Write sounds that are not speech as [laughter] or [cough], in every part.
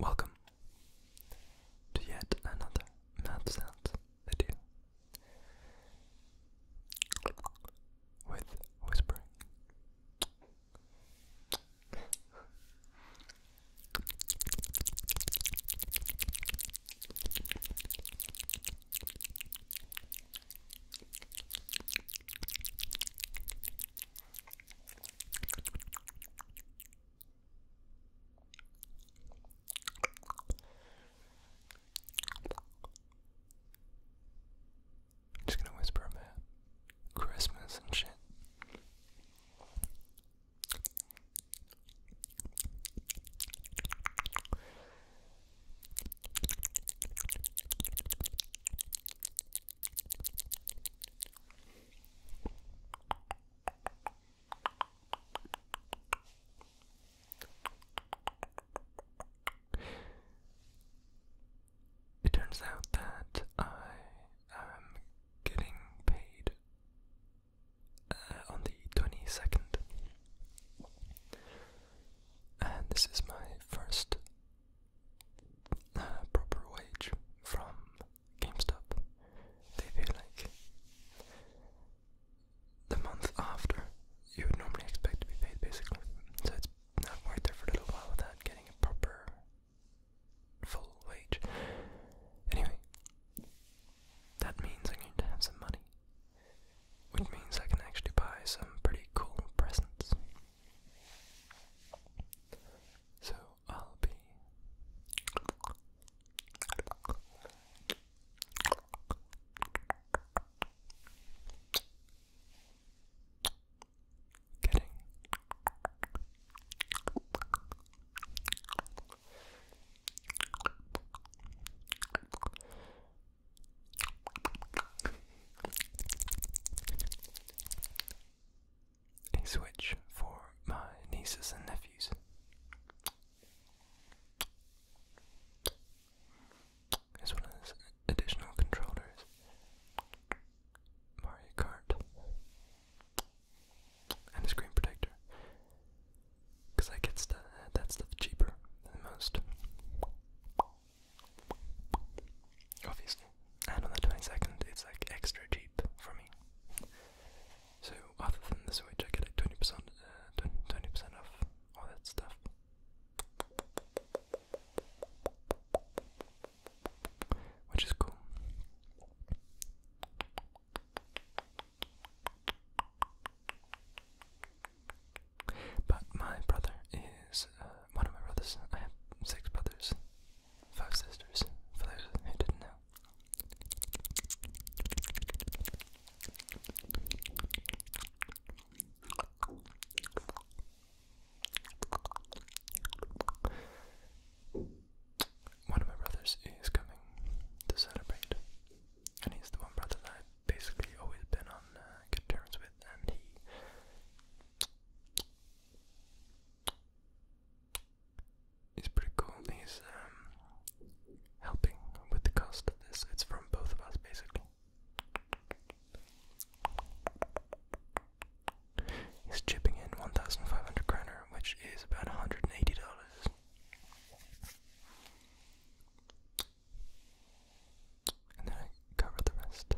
Welcome to yet another math sound video with whispering just gonna whisper about Christmas and shit. It turns out that I am getting paid uh, on the 22nd. And this is my first uh, proper wage from GameStop. They do like the month after you would normally expect to be paid, basically. So it's I've there for a little while without getting a proper full wage. Anyway, that means I'm going to have some money, which means I can actually buy some pretty cool presents. So I'll be getting a switch for my nieces and nephews. As well as additional controllers. Mario Kart and a screen protector. Cause I get st uh, that stuff cheaper than most. Obviously, and on the twenty second, it's like extra cheap for me. So other than the Switch, I get like twenty percent, uh, twenty percent off all that stuff. Which is cool. But my brother is uh, one of my brothers. I have six brothers, five sisters, for those who didn't know one of my brothers is coming to celebrate, and he's the one brother that I've basically always been on uh, good terms with, and he. He's pretty cool. He's um, helping with the cost of this. It's from both of us, basically. He's chipping in 1,500 kroner, which is about $180 and then I cover the rest.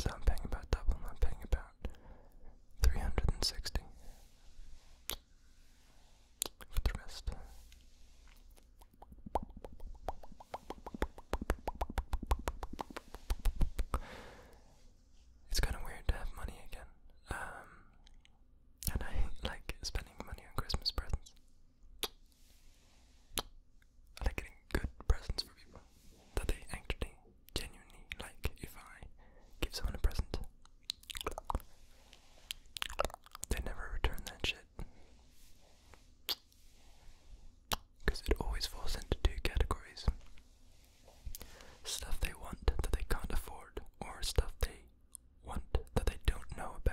So I'm paying about double, I'm paying about 360 for the rest. It's kind of weird to have money again. Um, and I hate, [laughs] like spending money on Christmas presents. I like getting good presents for people that they actually genuinely like. If I give someone a present, they never return that shit. Because it always falls into two categories stuff they want that they can't afford, or stuff they want that they don't know about.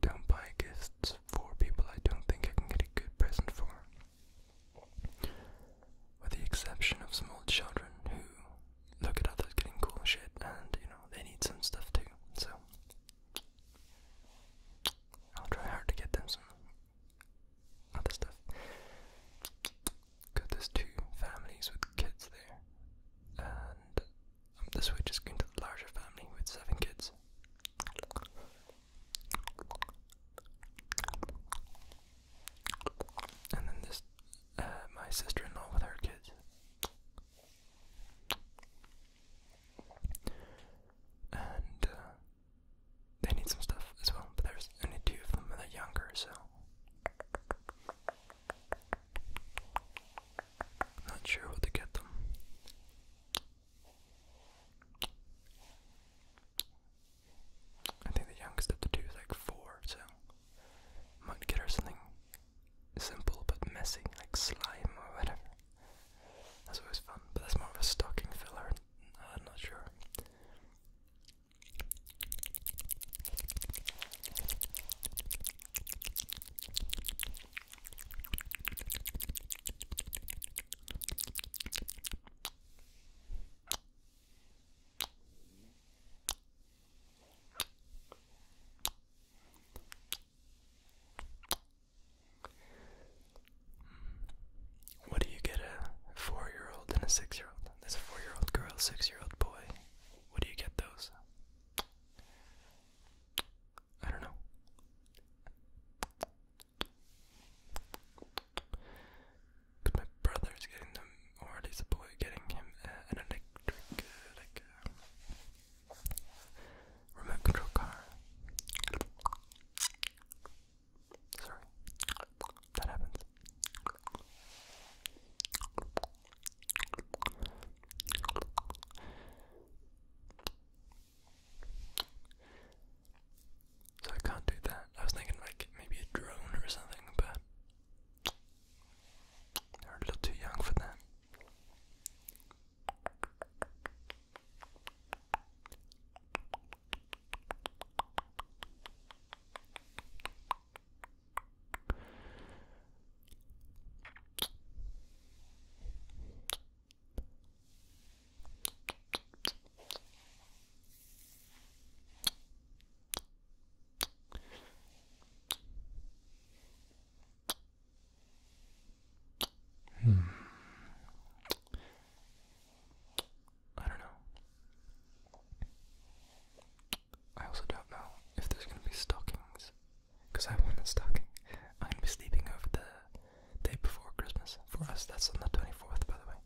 don't buy gifts for people I don't think I can get a good present for. With the exception of small children who look at others getting cool shit and, you know, they need some stuff too. So, I'll try hard to get them some other stuff. Because there's two families with kids there. And um, this the just go into the larger family with seven kids. And then this, uh, my sister-in-law with her kids. And uh, they need some stuff as well, but there's only two of them and are younger, so not sure where to get them. I think the youngest of the two is like four, so might get her something simple but messy, like slime or whatever. That's always fun, but that's more of a stocking filler. Uh, I'm not sure. What do you get a four year old and a six year old? There's a four year old girl, six year old boy. What do you get those? I don't know. my brother is getting them, or at least the boy getting him uh, an electric, uh, like, uh, remote control car. Sorry, that happens. So I can't do that. I was thinking like maybe a drone or something, but they're a little too young for that. Hmm. I don't know. I also don't know if there's gonna be stockings, because I want a stocking. I'm gonna be sleeping over the day before Christmas. For us, that's on the 24th, by the way.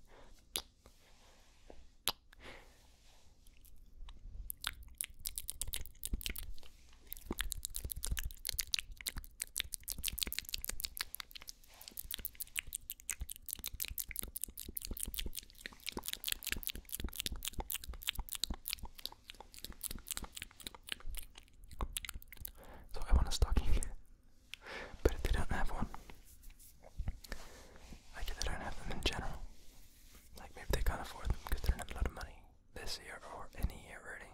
So I want a stocking, [laughs] but if they don't have one, like if they don't have them in general, like maybe they can't afford them because they don't have a lot of money this year or any year really.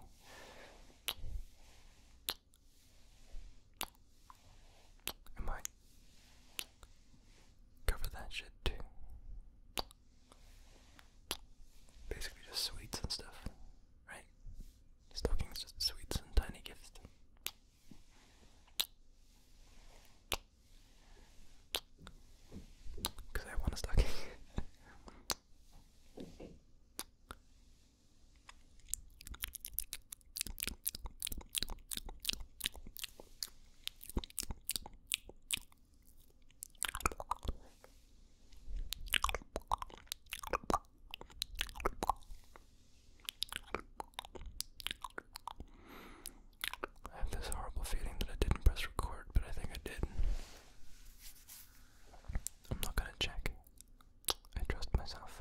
Am I cover that shit too. Basically, just sweets and stuff, right? Stockings, just sweets and tiny gifts. Because I want a stocking. I have this horrible feeling that I didn't press record, but I think I did. I'm not gonna check. I trust myself.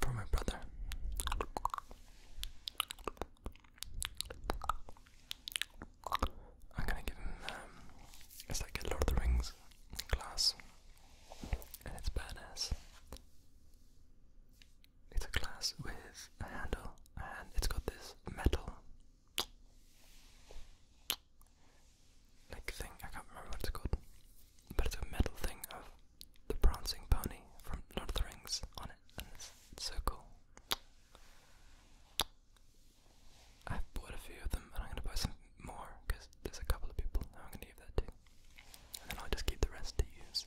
For my brother. I'm gonna give him, um, it's like a Lord of the Rings glass. And it's badass. It's a glass with a handle and it's got this metal like thing. I can't remember what it's called, but it's a metal thing of the prancing pony from Lord of the Rings on it, and it's, so cool. I've bought a few of them, and I'm gonna buy some more because there's a couple of people who I'm gonna give that to, and then I'll just keep the rest to use.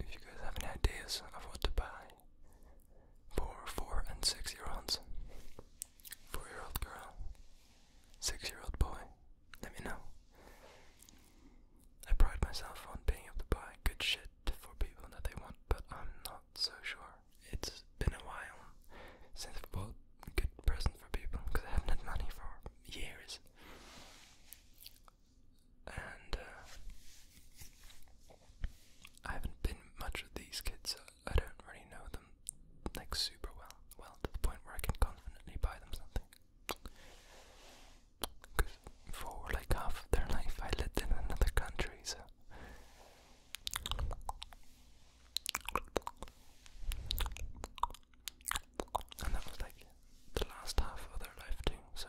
If you guys have any ideas of what to buy for four and six year olds, four year old girl, six year old boy, let me know. I pride myself on being able to buy good shit for people that they want, but I'm not so sure it's been a while since I've bought a good present for people because I haven't had money for years. And uh, I haven't been much with these kids, I don't really know them like super well. Well, to the point where I can confidently buy them something. Because for like half of their life I lived in another country, so. And that was like the last half of their life too, so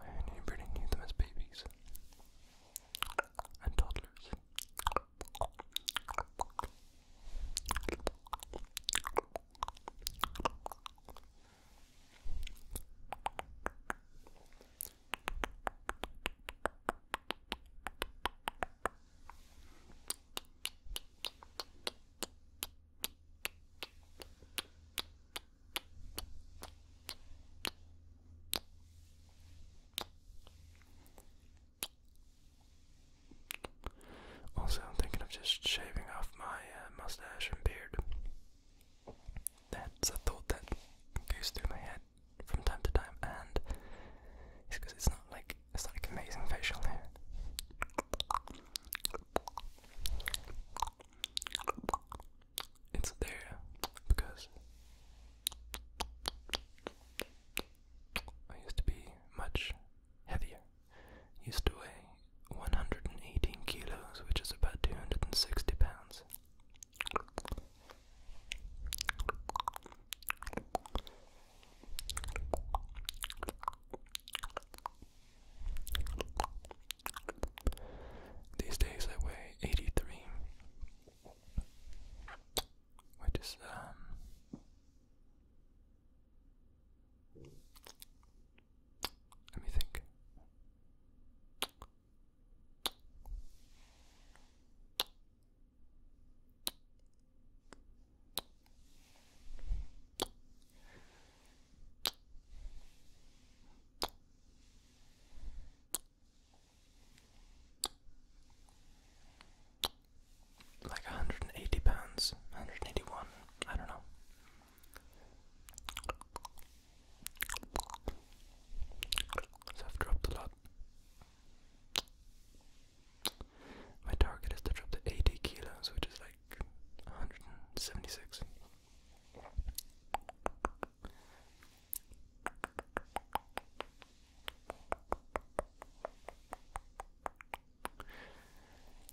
I only really knew them as babies and toddlers. Also, I'm thinking of just shaving off my uh, mustache and beard. That's a thought that goes through my head from time to time, and it's because it's not like it's not like amazing facial hair. It's there because I used to be much heavier. Used to weigh 118 kilos, which is about 260 pounds. These days I weigh 83, which is, um, let me think. Like a hundred and eighty pounds, hundred and eighty one, I don't know. So I've dropped a lot. My target is to drop to 80 kilos, which is like 176.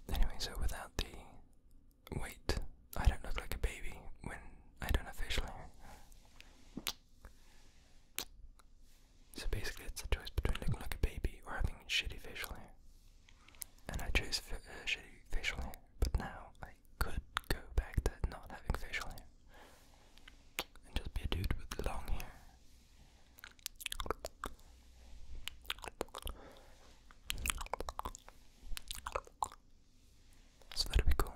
Anyway, so without the Wait, I don't look like a baby when I don't have facial hair. So basically, it's a choice between looking like a baby or having shitty facial hair. And I chose uh, shitty facial hair, but now I could go back to not having facial hair and just be a dude with long hair. So that'll be cool.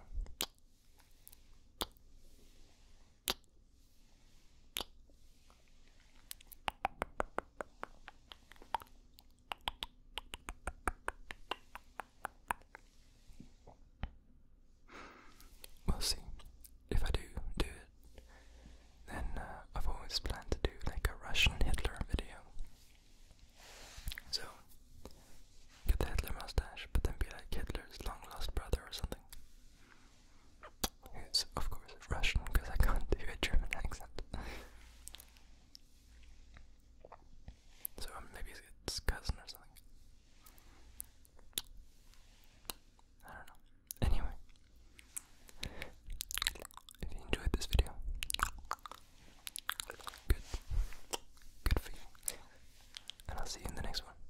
We'll see. If I do do it, then uh, I've always planned to do like a Russian Hitler video. So, get the Hitler mustache, but then be like Hitler's long lost brother or something. Who's, of course, Russian because I can't do a German accent. so, maybe it's cousin or something. I don't know. Anyway, if you enjoyed this video, Good. Good for you. And I'll see you in the next one.